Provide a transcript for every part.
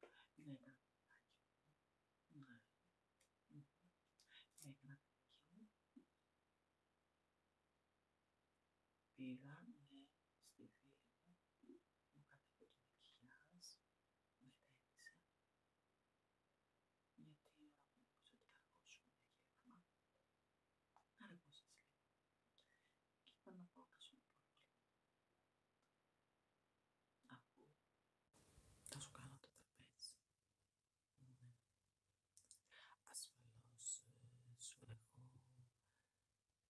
Με ένα κομμάτι. Ναι. Έκανα τέτοιο. Πήγα στη θεία μου, μου κατέβηκε το μακιγιάζ, με τένισε. Γιατί η που είπες ότι θα αργώσουμε για γεύμα, λίγο. Και είπα να πάω σου πω λίγο. Αφού θα σου κάνω το τραπέζι. Ναι. Ασφαλώς ε, σου έχω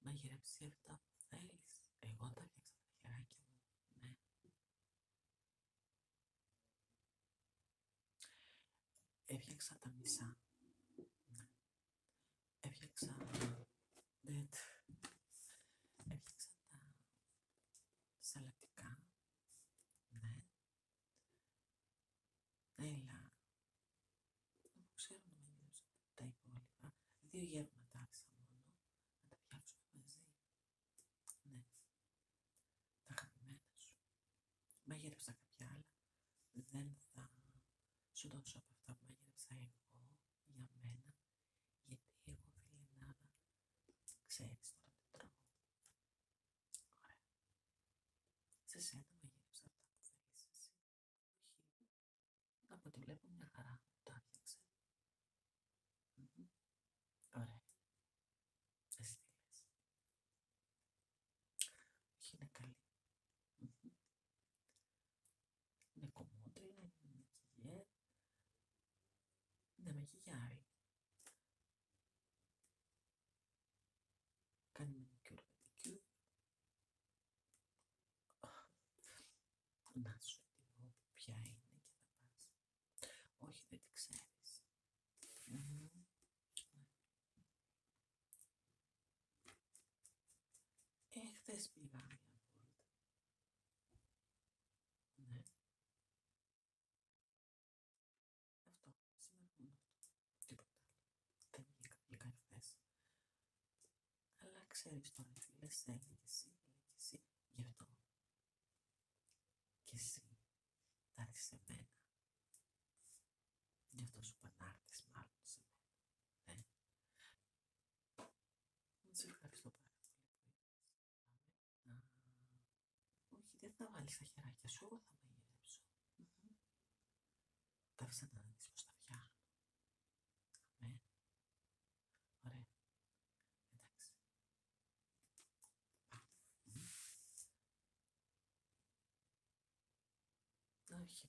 μαγειρέψει αυτά που θέλεις. Εγώ τα έφτιαξα τα χεράκια μου. Ναι. Έφτιαξα τα μισά. Ναι έφτιαξα μπέτ, έφτιαξα τα σαλαπτικά, ναι, έλα, δεν ξέρω να μην τα υπόλοιπα, δύο γεύματα άφησα μόνο, να τα φτιάξουμε μαζί, ναι, τα αγαπημένα σου, μαγείρεψα κάποια άλλα, δεν θα σου δώσω από αυτά που μαγείρεψα εγώ για μένα, γιατί εγώ φίλε Λάρα, ξέρεις τώρα τι τρώω. Ωραία. Σε σένα μαγείρεψα αυτά που θέλεις εσύ. Όχι. Από ότι βλέπω μια χαρά. Τα έφτιαξε. Ωραία. Εσύ τι λες. Όχι είναι είναι κομμότερη να είναι να μαγειγιάρει. Κάνει μονοκιούρια, μονοκιούρια. να σου τη γνωρίζω ποια είναι και θα πας. Όχι, δεν τη ξέρεις. Εχθές πήγα μια βόλτα. Ναι. Αυτό. Σήμερα μόνο αυτό. Τίποτα άλλο. Δεν βγήκα, βγήκα εχθές. Αλλά ξέρεις τώρα, φίλε, στέλνει και εσύ, λέει και εσύ. Γι' αυτό. Και εσύ. Τα έρθεις σε μένα. Γι' αυτό σου πανάρτης μάλλον σε μένα. Ναι. Σε ευχαριστώ πάρα πολύ Όχι, δεν θα βάλεις τα χεράκια σου, εγώ θα μαγειρέψω. Τα αφήσα να πω Αμέ. Ωραία. Εντάξει. Όχι,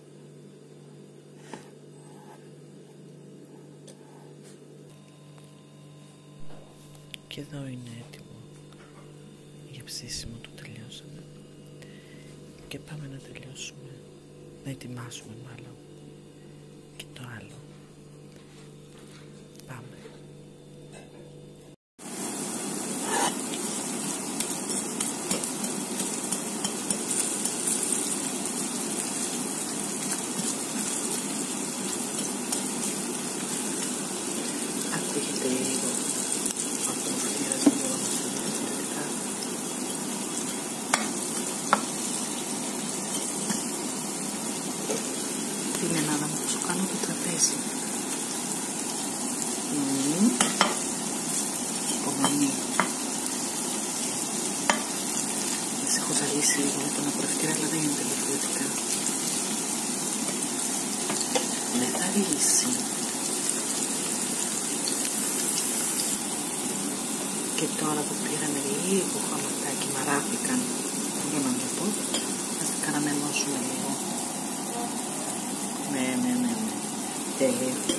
Και εδώ είναι έτοιμο για ψήσιμο το τελειώσαμε και πάμε να τελειώσουμε, να ετοιμάσουμε μάλλον και το άλλο. Πάμε ακούγεται λίγο από το φύλλα του διαφορετικά. Την Ελλάδα μου σου κάνω το τραπέζι. Τις έχω ζαλίσει λίγο με τον απορρευτήρα, αλλά δεν είναι τελειοποιητικά. Με θα ρίγηση. Και τώρα που πήραμε λίγο χαματάκι, δεν μπορώ να το πω, ας τα ενώσουμε λίγο. Ναι, ναι, ναι, ναι. Τέλεια.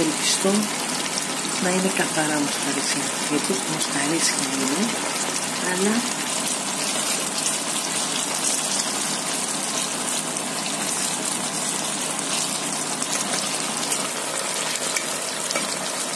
Ελπιστώ να είναι καθαρά μουσταρίσια. Γιατί μουσταρίσια είναι, αλλά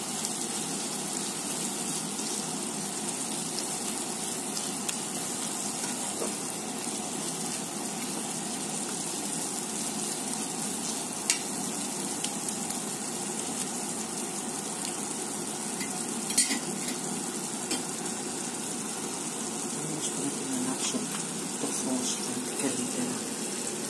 πρέπει να ανάψω το φως πολύ καλύτερα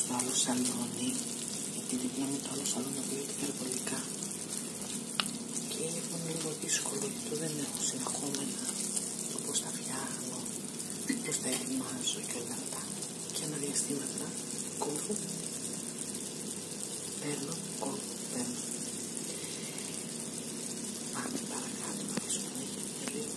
στο άλλο σαλόνι γιατί δεν μου το άλλο σαλόνι πήγαινε υπερβολικά και είναι λίγο δύσκολο γιατί δεν έχω συνεχόμενα το πώς τα φτιάχνω πώς τα ετοιμάζω και όλα αυτά και ένα διαστήματα κόβω παίρνω, κόβω, παίρνω πάμε παρακάτω να λίγο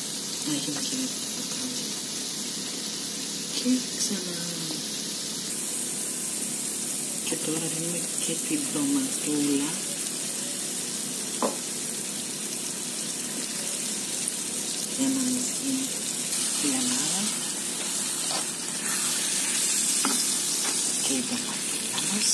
να γίνει και Και ξανά. Και τώρα δίνουμε και την ντοματούλα. Για να μην γίνει η ανάρα. Και η ντοματούλα μας.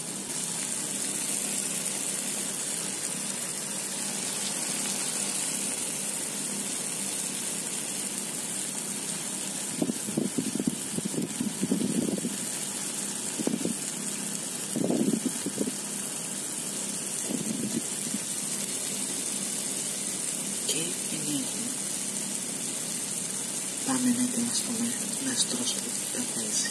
Και πάμε να ετοιμαστούμε να στρώσουμε τα θέση.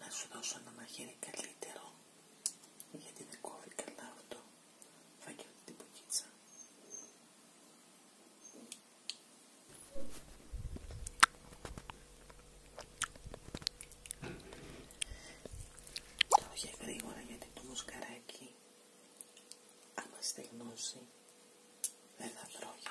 Να σου δώσω ένα μαχαίρι καλύτερο, γιατί δεν κόβει καλά αυτό. Φάκελο την πουκίτσα. Το είχε γρήγορα γιατί το μουσκαράκι άμα στεγνώσει δεν θα τρώγεται.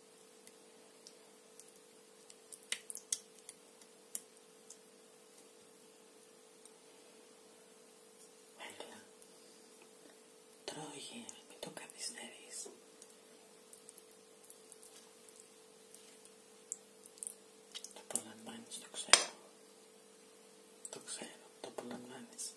Έλα, τρώγε, μην το καθυστερείς. Το απολαμβάνεις, το ξέρω. Το ξέρω, το απολαμβάνεις.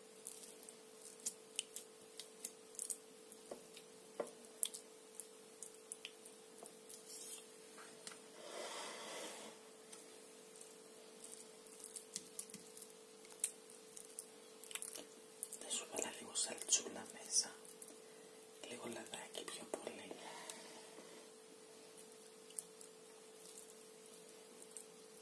Θα σου βάλω λίγο σαλτσούλα μέσα, λίγο λαδάκι πιο πολύ.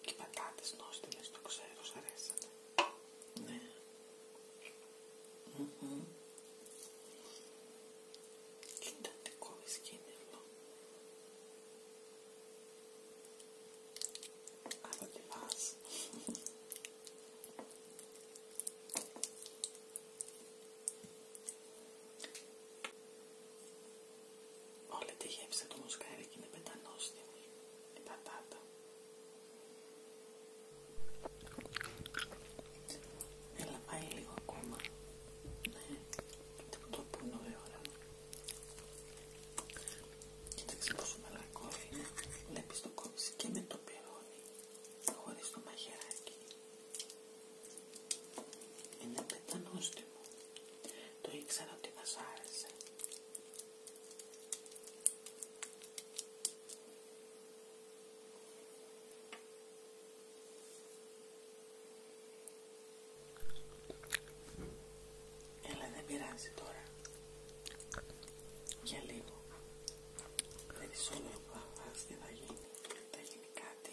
Και οι πατάτες νόστιμες, το ξέρω, σ' αρέσανε. Ναι. Mm κοίτα τι δυσκίνητο. Αλλά τι πας. Όλη τη γεύση του μουσκάρι και είναι πεντανόστιμη η πατάτα. Έλα πάει λίγο ακόμα. Ναι, το πούνο η Κοίταξε πόσο μαλακώδη είναι. Βλέπεις το κόβεις και με το πυρώνει. Χωρίς το μαχαιράκι. Είναι πεντανόστιμο. Το ήξερα ότι θα άρεσε. Έλα δεν πειράζει τώρα. Για λίγο. Δεν ξέρω που θα φας, θα γίνει. Θα γίνει κάτι.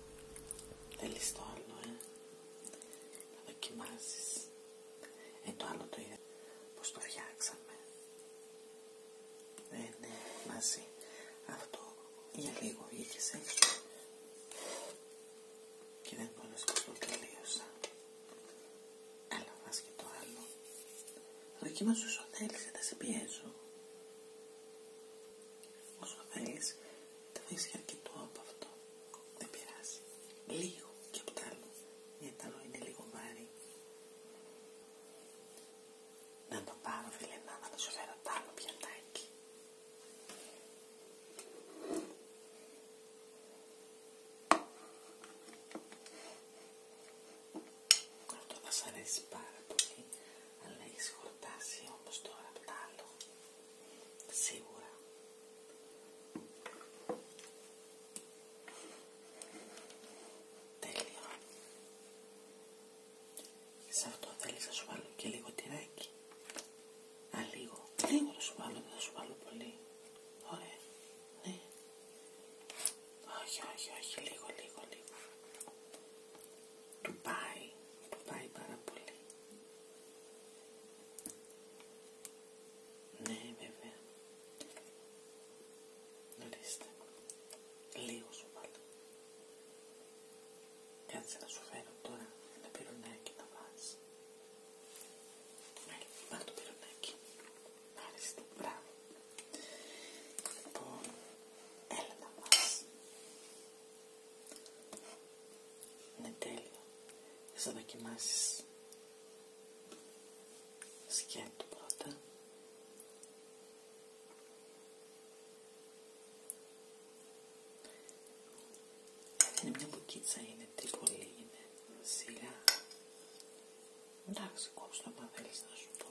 Θέλεις το άλλο, ε. Να δοκιμάζεις. Ε, το άλλο το Πώς το φτιάξαμε. Δεν είναι μαζί. Αυτό για λίγο βγήκε έξω. Και δεν μπορώ να το τελείωσα. Έλα, βάζ και το άλλο. Δοκιμάζω όσο θέλεις, δεν σε πιέζω. Όσο θέλεις, θα βρεις και αρκετό από αυτό. Δεν πειράζει. Λίγο και από τα άλλο. Γιατί τα άλλο είναι λίγο βάρη. Να το πάρω, Βιλενά, να σου φέρω τ' άλλο πιατάκι. Αυτό θα σ' αρέσει πάρα πολύ αλλά έχεις χορτάσει όμως τώρα απ' τα άλλο. Σίγουρα. Τέλειο. Σε αυτό θέλεις να σου βάλω και λίγο τυράκι. Α, λίγο. Λίγο να σου βάλω, δεν θα σου βάλω πολύ. Ωραία. Ναι. Όχι, όχι, όχι. Λίγο, λίγο, λίγο του πάει, του πάει πάρα πολύ. Ναι βέβαια. Ορίστε. Λίγο σου βάλω. Κάτσε να σου φέρω τώρα ένα πυρουνάκι να βάζεις. Ναι, πάρ' το πυρουνάκι. Μάλιστα, μπράβο. Λοιπόν, έλα να βάζεις. Είναι τέλειο. Θα το δοκιμάσεις. Σκέτου πρώτα. Είναι μια μπουκίτσα, είναι τρίβολη, είναι σειρά. Εντάξει, κόψτε το, μα θέλεις να σου πω.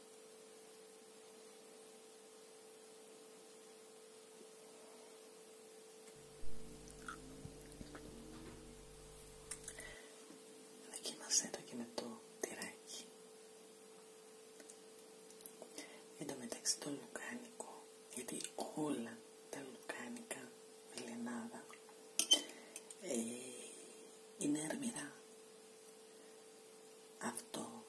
Δοκίμασέ το και με το τυράκι. Εν τω μεταξύ το λουκάνικο, γιατί όλα τα λουκάνικα με ε, είναι αρμυρά αυτό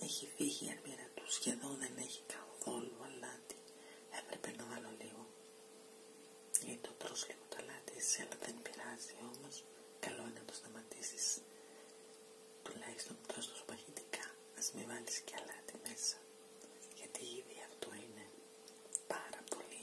έχει φύγει η τους του, σχεδόν δεν έχει καθόλου αλάτι. Έπρεπε να βάλω λίγο. Γιατί το τρως λίγο το αλάτι εσύ, αλλά δεν πειράζει όμως. Καλό είναι να το σταματήσεις. Τουλάχιστον τρως τόσο παχυτικά. Ας μην βάλεις και αλάτι μέσα. Γιατί ήδη αυτό είναι πάρα πολύ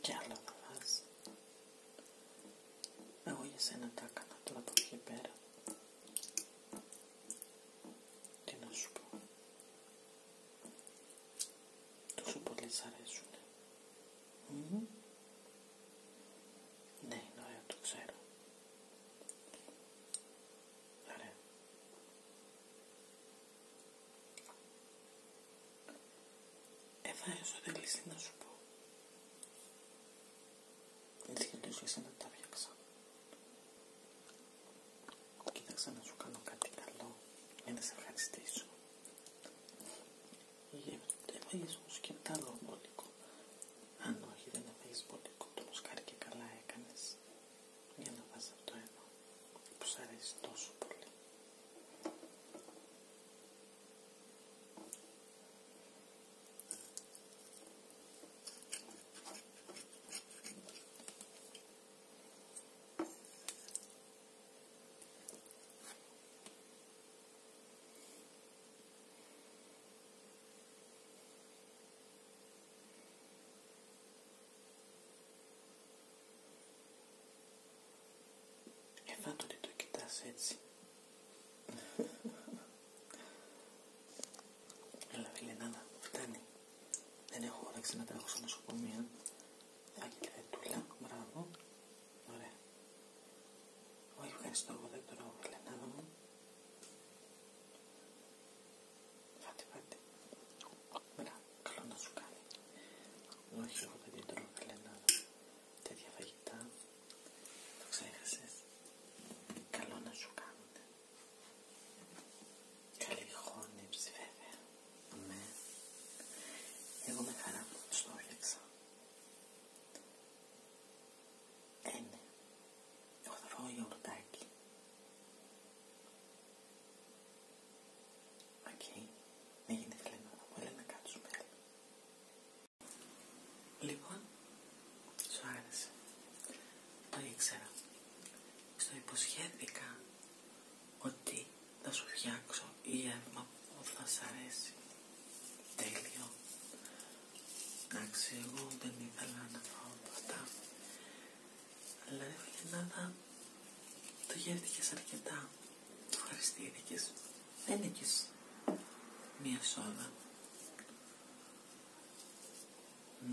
Και άλλο κρεβάς. Εγώ για σένα τα έκανα τώρα από εκεί πέρα. Τι να σου πω. Τόσο πολλές αρέσουνε. Δεν Ναι, είναι ωραίο, ναι, το ξέρω. Ωραία. Ε, τι να σου πω. Δεν και τόσο εσένα τα φτιάξα. Κοίταξα να σου κάνω κάτι καλό ε, σε γεύονται. Εμφαγίσμους και τ' άλλο μπόλικο. Αν όχι δεν έφαγες μπόλικο, το μουσκάρι και καλά έκανες. Για να βάζεις το εδώ, που σ' αρέσει τόσο πολύ. Εφάντο ότι το κοιτάς έτσι. Έλα φίλε φτάνει. Δεν έχω όρεξη να τρέχω σε νοσοκομεία. Άγγελε, τουλά, μπράβο. Ωραία. Όχι, ευχαριστώ, εγώ δεν τρώω μελανάδα μου. Φάτε, φάτε. Μπράβο, καλό να σου κάνει. Όχι, εγώ δεν τρώω μελανάδα. Τέτοια φαγητά, το ξέχασες. Καλό να σου κάνουν. Καλή χώνεψη βέβαια. Ναι. Εγώ με χαρά που τους το έφτιαξα ναι, Εγώ θα φάω γιαουρτάκι. Οκ. Okay. Ναι, γιατί να κάτσουμε Λοιπόν, σου άρεσε. Το ήξερα. Στο υποσχέθηκα ότι θα σου φτιάξω η έρμα που θα σ' αρέσει. Τέλειο. Εντάξει, εγώ δεν ήθελα να φάω αυτά. Αλλά η Φιλενάδα το γεύτηκες αρκετά. Το ευχαριστήθηκες. Δεν έχεις μία σόδα.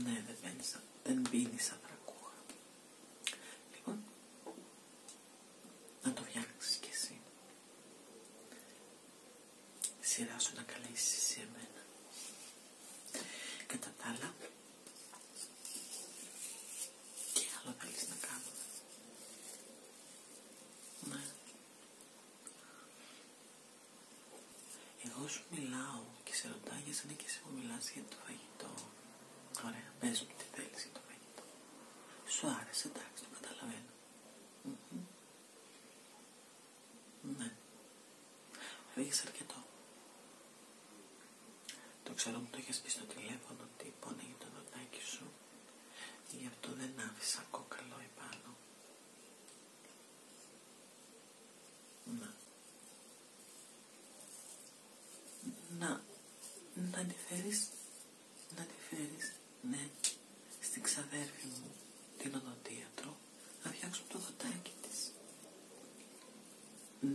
Ναι, δεν πίνεις, δεν πίνεις ανθρακούχα. Λοιπόν, να το φτιάξεις κι εσύ σειρά σου να καλέσεις εσύ εμένα. Κατά τα άλλα, τι άλλο θέλεις να κάνουμε. Ναι. Εγώ σου μιλάω και σε ρωτά για σαν και εσύ μου μιλάς για το φαγητό. Ωραία, πες μου τι θέλεις για το φαγητό. Σου άρεσε, εντάξει, το καταλαβαίνω. Ναι. Ανοίγεις αρκετό. Το ξέρω που το είχες πει στο τηλέφωνο ότι πόνεγε το νοτάκι σου. Γι' αυτό δεν άφησα κόκαλο επάνω. Να. Να. Να τη να τη φέρεις, ναι, στην ξαδέρφη μου, την οδοντίατρο, να φτιάξουμε το δωτάκι της.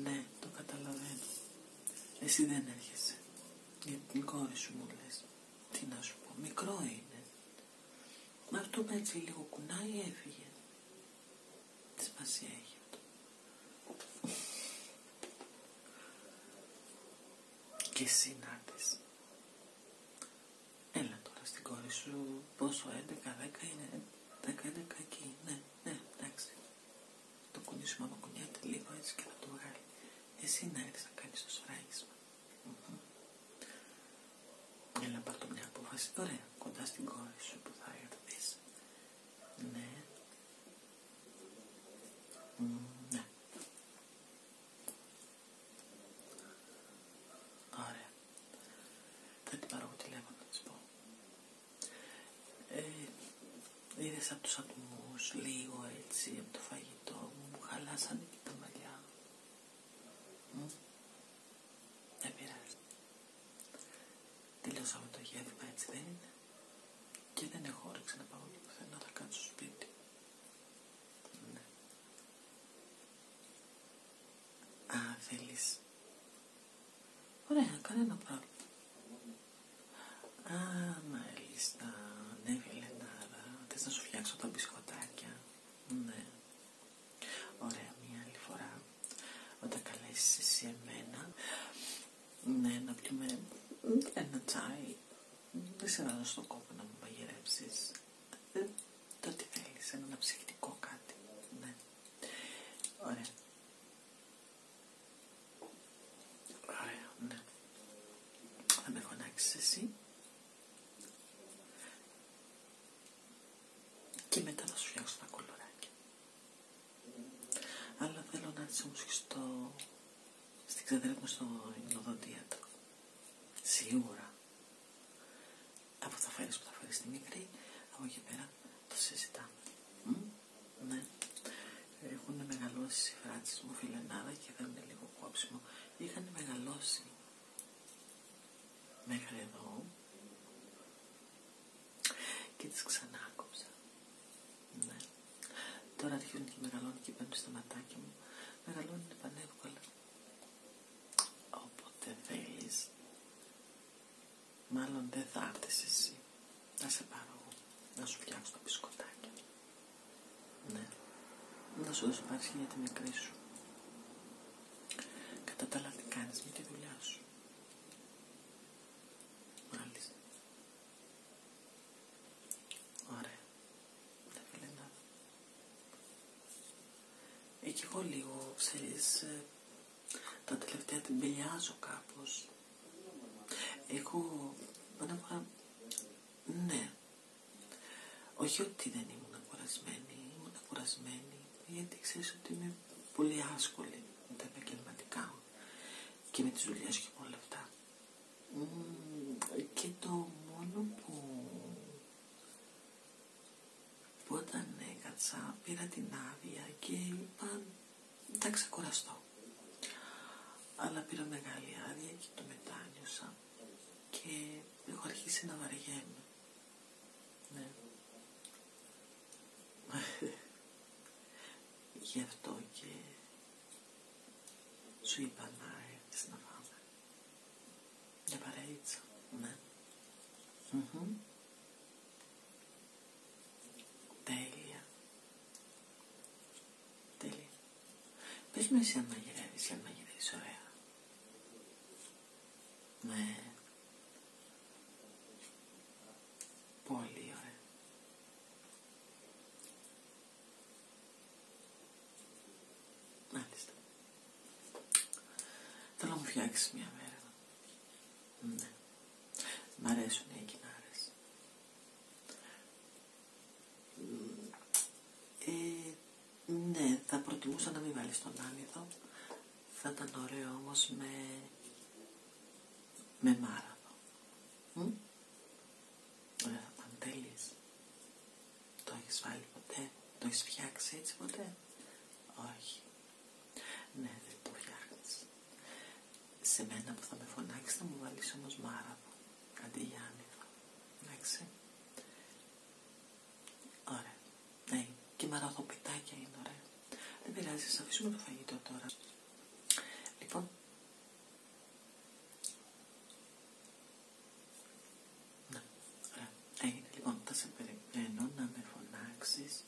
Ναι, το καταλαβαίνω. Εσύ δεν έρχεσαι. Για την κόρη σου μου λες. Τι να σου πω, μικρό είναι. Μα αυτό με έτσι λίγο κουνάει έφυγε. Τι σημασία έχει αυτό. Και εσύ να Έλα τώρα στην κόρη σου, πόσο 11, 10 είναι, 10, 11 εκεί, ναι, ναι, εντάξει. Το κουνήσουμε από κουνιάται λίγο έτσι και θα το βγάλει. Εσύ να έρθεις να κάνεις το σωραγισμα Έλα πάρ' το μια απόφαση, ωραία, κοντά στην κόρη σου που θα έρθεις. Ναι. ναι. Ωραία. Θα την πάρω από τηλέφωνο να της πω. Ε, είδες από τους ατμούς λίγο έτσι από το φαγητό μου, μου χαλάσανε και τα μαλλιά. Mm. Δεν πειράζει. Τελειώσαμε το γεύμα έτσι δεν είναι. Και δεν έχω όρεξη να πάω πουθενά, θα κάτσω στο σπίτι. Α, θέλεις. Ωραία, κανένα πρόβλημα. Α, μάλιστα. Ναι, Βιλενάρα. Θες να σου φτιάξω τα μπισκοτάκια. Ναι. Ωραία, μια άλλη φορά. Όταν καλέσεις εσύ εμένα, ναι, να πιούμε ένα τσάι δεν σε βάζω στον κόπο να μου παγερέψει. Ε, το τι θέλει, ένα ψυχτικό κάτι. Ναι. Ωραία. Ωραία, ναι. Θα με φωνάξει εσύ. Και μετά θα σου φτιάξω τα κολοράκια. Αλλά θέλω να όμω και στο στην ξαδέρα μου στο υμνοδοντίατρο. Σίγουρα. Από τα φέρεις που θα φέρεις τη μικρή, από εκεί πέρα το συζητάμε. Ναι. Έχουν μεγαλώσει οι φράτσες μου φιλενάδα και δεν είναι λίγο κόψιμο. Είχαν μεγαλώσει μέχρι εδώ και τις ξανάκουσα. Ναι. Τώρα αρχίζουν και μεγαλώνουν και μπαίνουν στα ματάκια μου. Μεγαλώνουν πανεύκολα. Όποτε θέλει, μάλλον δεν θα έρθει εσύ. Να σε πάρω εγώ. Να σου φτιάξω τα μπισκοτάκια. Ναι. Να σου δώσω πάρση για τη μικρή σου. Κατά τα άλλα τι με τη δουλειά σου. Μάλιστα. Ωραία. εκεί εγώ λίγο, ξέρεις, ε, τα τελευταία την πηλιάζω κάπως. Εγώ, μάνα, ναι. Όχι ότι δεν ήμουν κουρασμένη, ήμουν κουρασμένη, γιατί ξέρεις ότι είμαι πολύ άσχολη με τα επαγγελματικά και με τις δουλειές και με όλα αυτά και το μόνο που, όταν έκατσα πήρα την άδεια και είπα τα ξεκουραστώ. Αλλά πήρα μεγάλη άδεια και το μετάνιωσα και έχω αρχίσει να βαριέμαι. Ναι. Γι' αυτό και σου είπα να έρθεις να πάμε. Για ναι. Τέλεια. Τέλεια. Πες μου εσύ αν μαγειρεύεις, αν μαγειρεύεις ωραία. Ναι. Πολύ ωραία. Μάλιστα. Θέλω να μου φτιάξει μια μέρα. Ναι. Μ' αρέσουν οι κοινάρες. Ε, ναι, θα προτιμούσα να μην βάλει τον άνιδο. Θα ήταν ωραίο όμως με, με μάραδο αν το έχεις βάλει ποτέ, το έχει φτιάξει έτσι ποτέ. Όχι. Ναι, δεν το φτιάχνεις. Σε μένα που θα με φωνάξει θα μου βάλεις όμως μάραβο, αντί για Εντάξει. Ωραία. Ναι, και μαραδοπιτάκια είναι ωραία. Δεν πειράζει, α αφήσουμε το φαγητό τώρα. Λοιπόν, ναι. ωραία. Έγινε ε, λοιπόν, θα σε περιμένω να με φωνάξεις.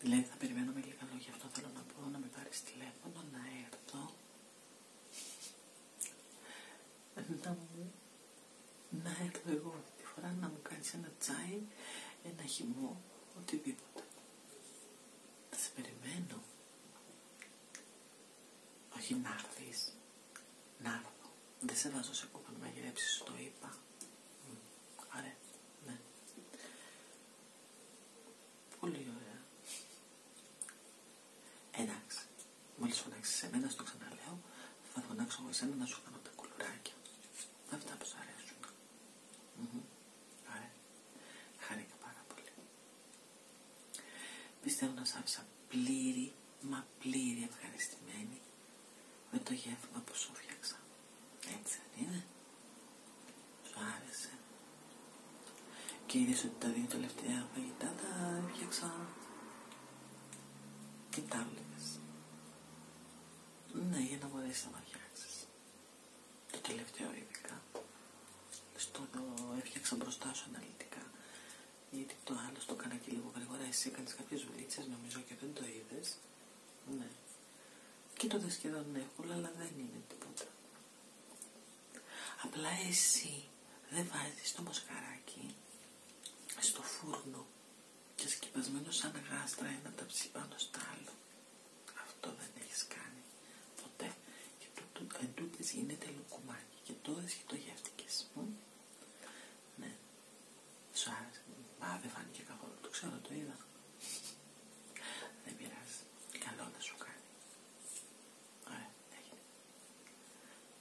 Δηλαδή θα περιμένω με λίγα λόγια, αυτό θέλω να πω, να με πάρεις τηλέφωνο, να έρθω. Να μου... Να έρθω εγώ αυτή τη φορά να μου κάνεις ένα τσάι, ένα χυμό, οτιδήποτε. Θα σε περιμένω. Όχι να έρθεις. Να Δεν σε βάζω σε κούπα να μαγειρέψεις, το είπα. Mm. Ωραία. Ναι. Πολύ ωραία. Εντάξει. Μόλις φωνάξεις εμένα, στο ξαναλέω, θα φωνάξω εγώ εσένα να σου κάνω τα κουλουράκια. Αυτά που σου αρέσουν. Mm -hmm. πάρα πολύ. Πιστεύω να σ' άφησα πλήρη, μα πλήρη ευχαριστημένη με το γεύμα που σου φτιάξα. Έτσι δεν είναι. Σου άρεσε. Και είδες ότι τα δύο τελευταία φαγητά τα φτιάξα και τα Ναι, για να μπορέσεις να φτιάξεις το τελευταίο ειδικά, στο έφτιαξα μπροστά σου αναλυτικά, γιατί το άλλο το έκανα και λίγο γρήγορα, εσύ έκανες κάποιες δουλίτσες νομίζω και δεν το είδε. ναι, και το σχεδόν ναι, εύκολα, αλλά δεν είναι τίποτα. Απλά εσύ δεν βάζεις το μοσχαράκι στο φούρνο και σκυπασμένο σαν γάστρα ένα ταψί πάνω στα άλλο. Αυτό δεν έχεις κάνει ποτέ. Και το εν τούτης γίνεται λουκουμάκι και τώρα σχετογεύτηκες. Mm. Ναι. Σου άρεσε. δεν φάνηκε κακό, Το ξέρω, το είδα. δεν πειράζει. Καλό να σου κάνει. Ωραία, έγινε.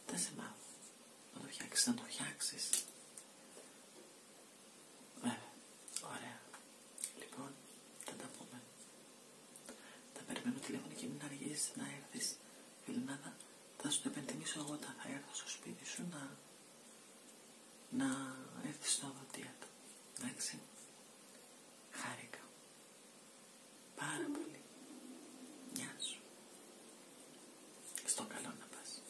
Δεν σε μάθω. Να το φτιάξεις, να το φτιάξεις. Βέβαια, ωραία. Λοιπόν, θα τα πούμε. Θα περιμένω τηλέφωνο και μην αργήσει να έρθεις Φιλνάδα θα σου το επενθυμίσω εγώ όταν θα έρθω στο σπίτι σου να, να έρθεις στο του, Εντάξει. Χάρηκα. Πάρα πολύ. Γεια σου. Στο καλό να πας.